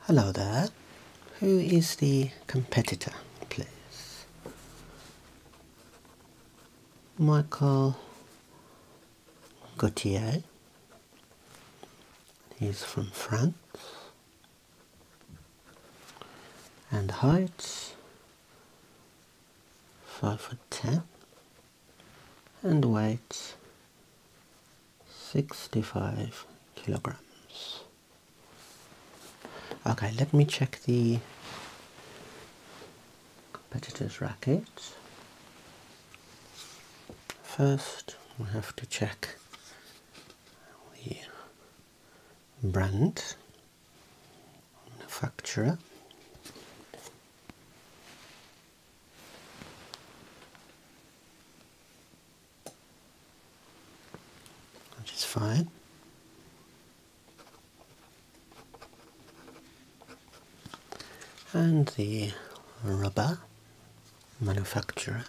Hello there. Who is the competitor, please? Michael Gautier. He's from France. And height five foot ten and weighs 65 kilograms. Okay, let me check the competitor's racket. First, we have to check the brand, manufacturer which is fine. And the rubber manufacturer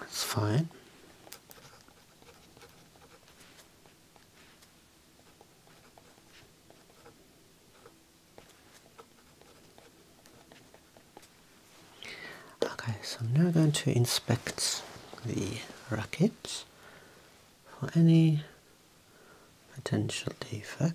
that's fine. Okay, so I'm now going to inspect the racket for any potential defect.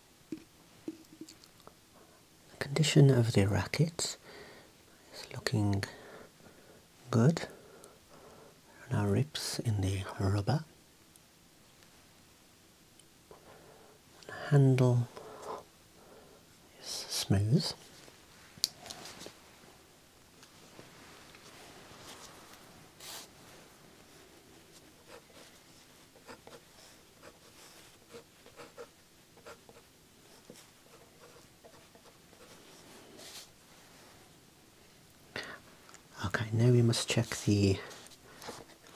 The condition of the racket is looking good. no rips in the rubber. handle is smooth. Okay, now we must check the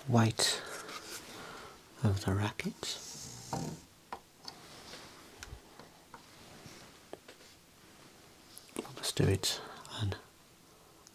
weight of the racket. Let's do it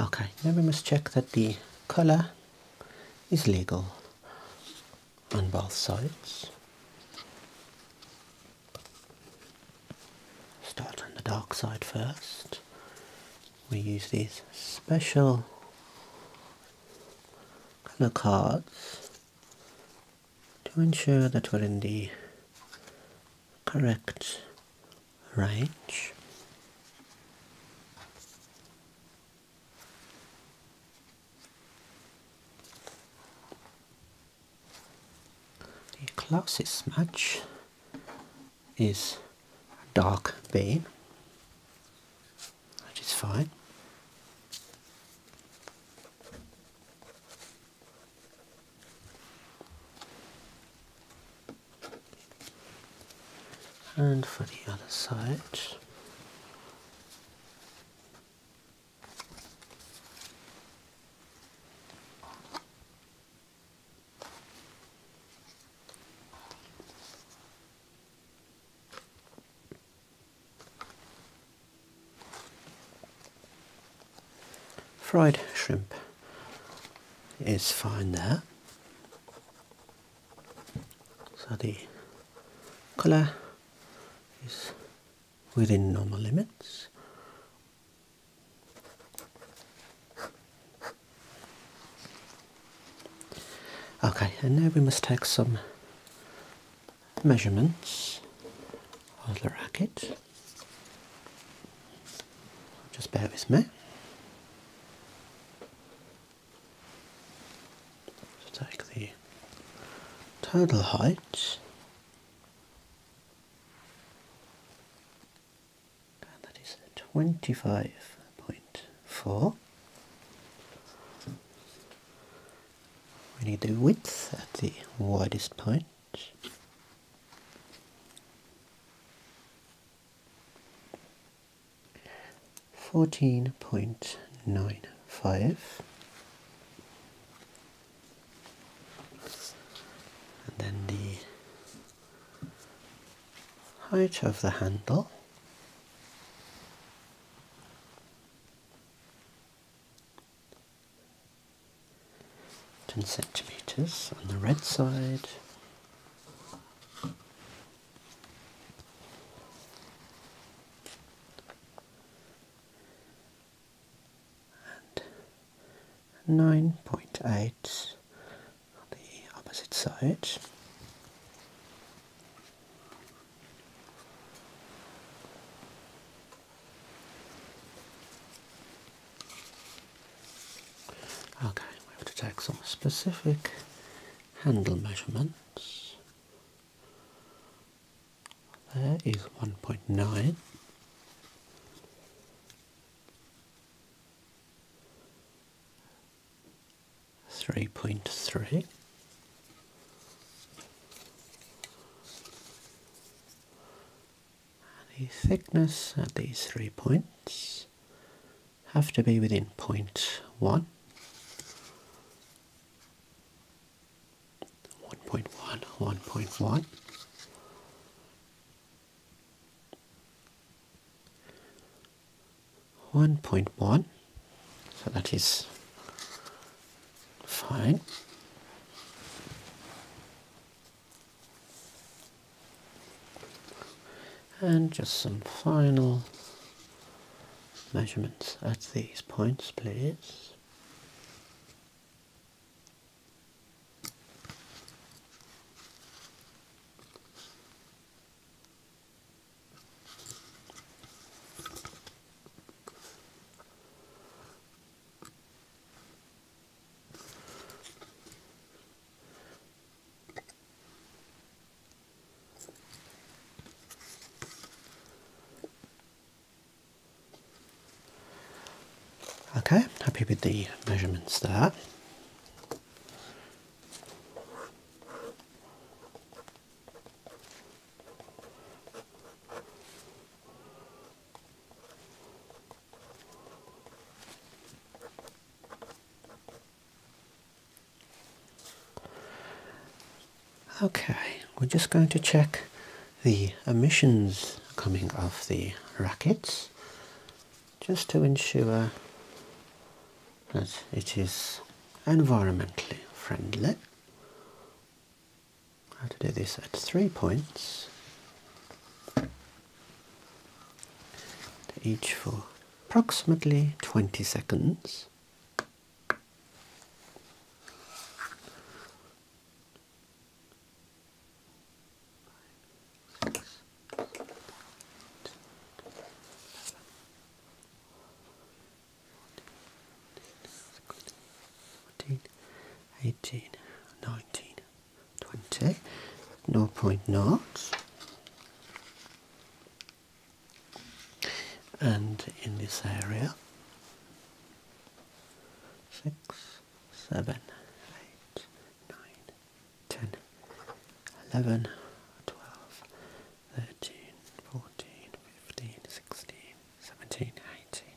Okay, now we must check that the colour is legal on both sides. Start on the dark side first. We use these special colour cards to ensure that we're in the correct range. The closest match is dark bean, which is fine. And for the other side. Fried shrimp is fine there. So the colour is within normal limits. Okay, and now we must take some measurements of the racket. Just bear with me. So take the total height. And that is 25.4. We need the width at the widest point. Fourteen point nine five, and then the height of the handle 10 centimeters on the red side. And 9.8 on the opposite side. Okay, we have to take some specific handle measurements. There is 1.9. Three point three, the thickness at these three points have to be within point 0.1, 1.1, 1.1. One point one, so that is fine. And just some final measurements at these points, please. Okay, happy with the measurements there. Okay, we're just going to check the emissions coming off the rackets just to ensure that it is environmentally friendly. I have to do this at three points, each for approximately 20 seconds. Eighteen, nineteen, 20 no point knots and in this area six seven eight nine ten eleven twelve thirteen fourteen fifteen sixteen seventeen eighteen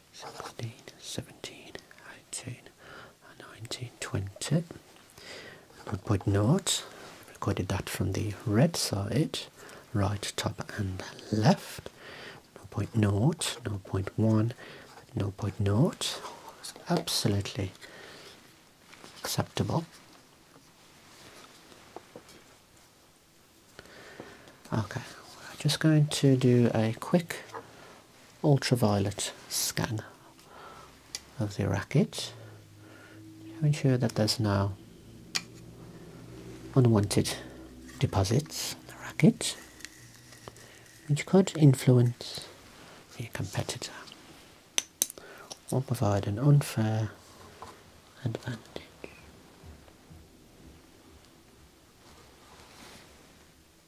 16, 17, 18, 19, 20. 0.0 recorded that from the red side, right, top and left. 0.0, 0.1, 0.0. absolutely acceptable. Okay, we're just going to do a quick ultraviolet scan of the racket to ensure that there's no unwanted deposits on the racket which could influence the competitor or provide an unfair advantage.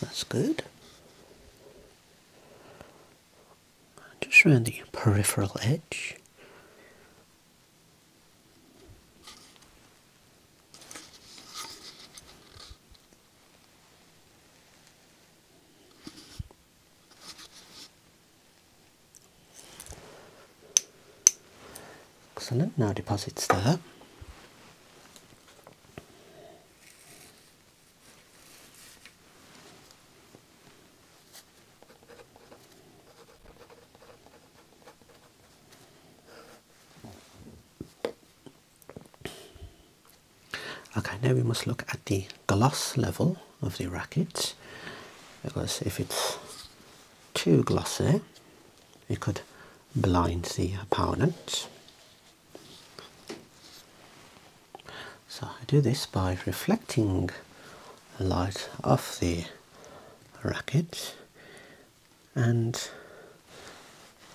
That's good. Just around the peripheral edge. Excellent, now deposits there. Okay, now we must look at the gloss level of the racket because if it's too glossy it could blind the opponent. So I do this by reflecting light off the racket and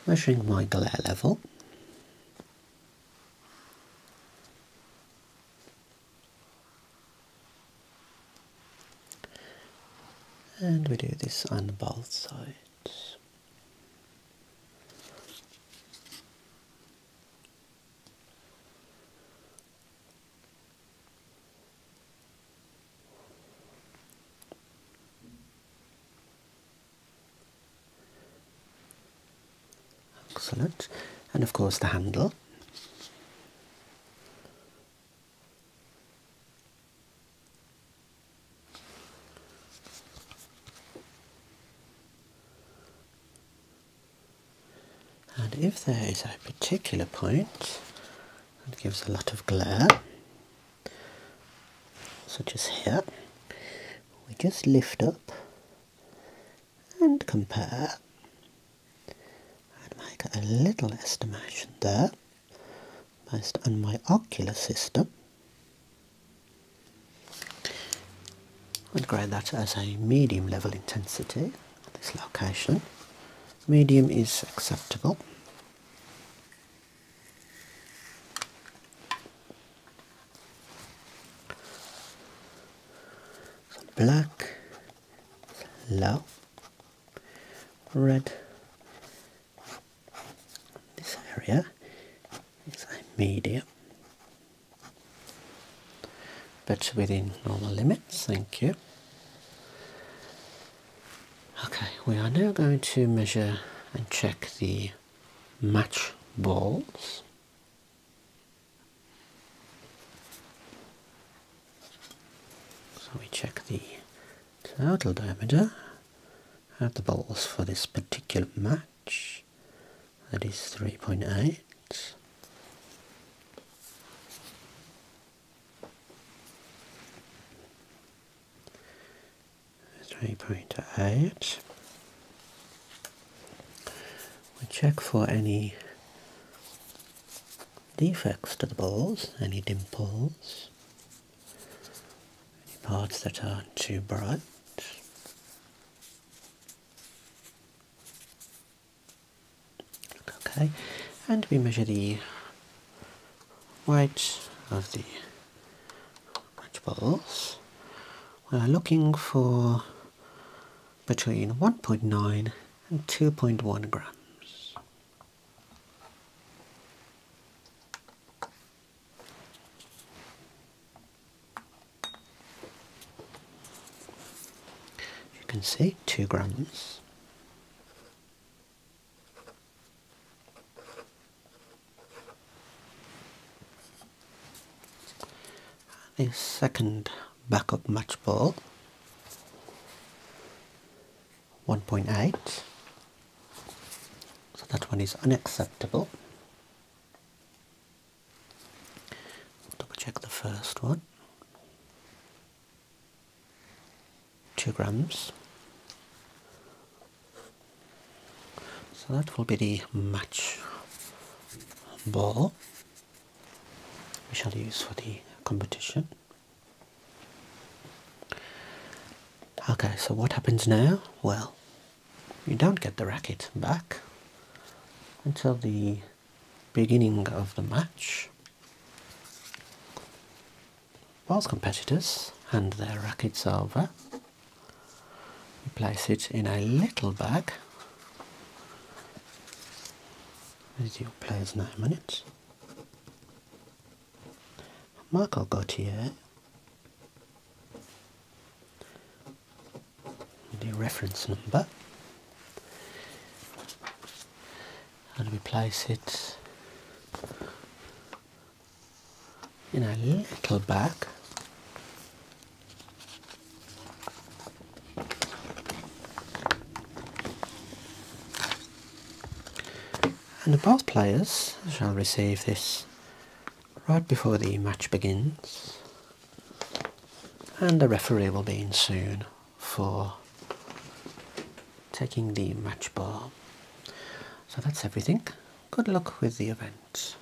measuring my glare level. And we do this on both sides. Excellent. And of course the handle. And if there is a particular point that gives a lot of glare, such as here, we just lift up and compare and make a little estimation there based on my ocular system. I'd grade that as a medium level intensity at this location. Medium is acceptable. black, low, red this area is a medium, but within normal limits. Thank you. Okay, we are now going to measure and check the match balls. So we check the total diameter at the balls for this particular match. That is 3.8. Three point eight. We check for any defects to the balls, any dimples, any parts that are too bright. Okay, and we measure the weight of the match balls. We are looking for between 1.9 and 2.1 grams. You can see two grams. The second backup match ball 1.8 so that one is unacceptable double check the first one 2 grams so that will be the match ball we shall use for the competition Okay, so what happens now? Well, you don't get the racket back until the beginning of the match. Whilst competitors hand their rackets over, you place it in a little bag. There's your player's name on it. got here. The reference number and we place it in a little bag and the both players shall receive this right before the match begins and the referee will be in soon for taking the match ball. So that's everything. Good luck with the event.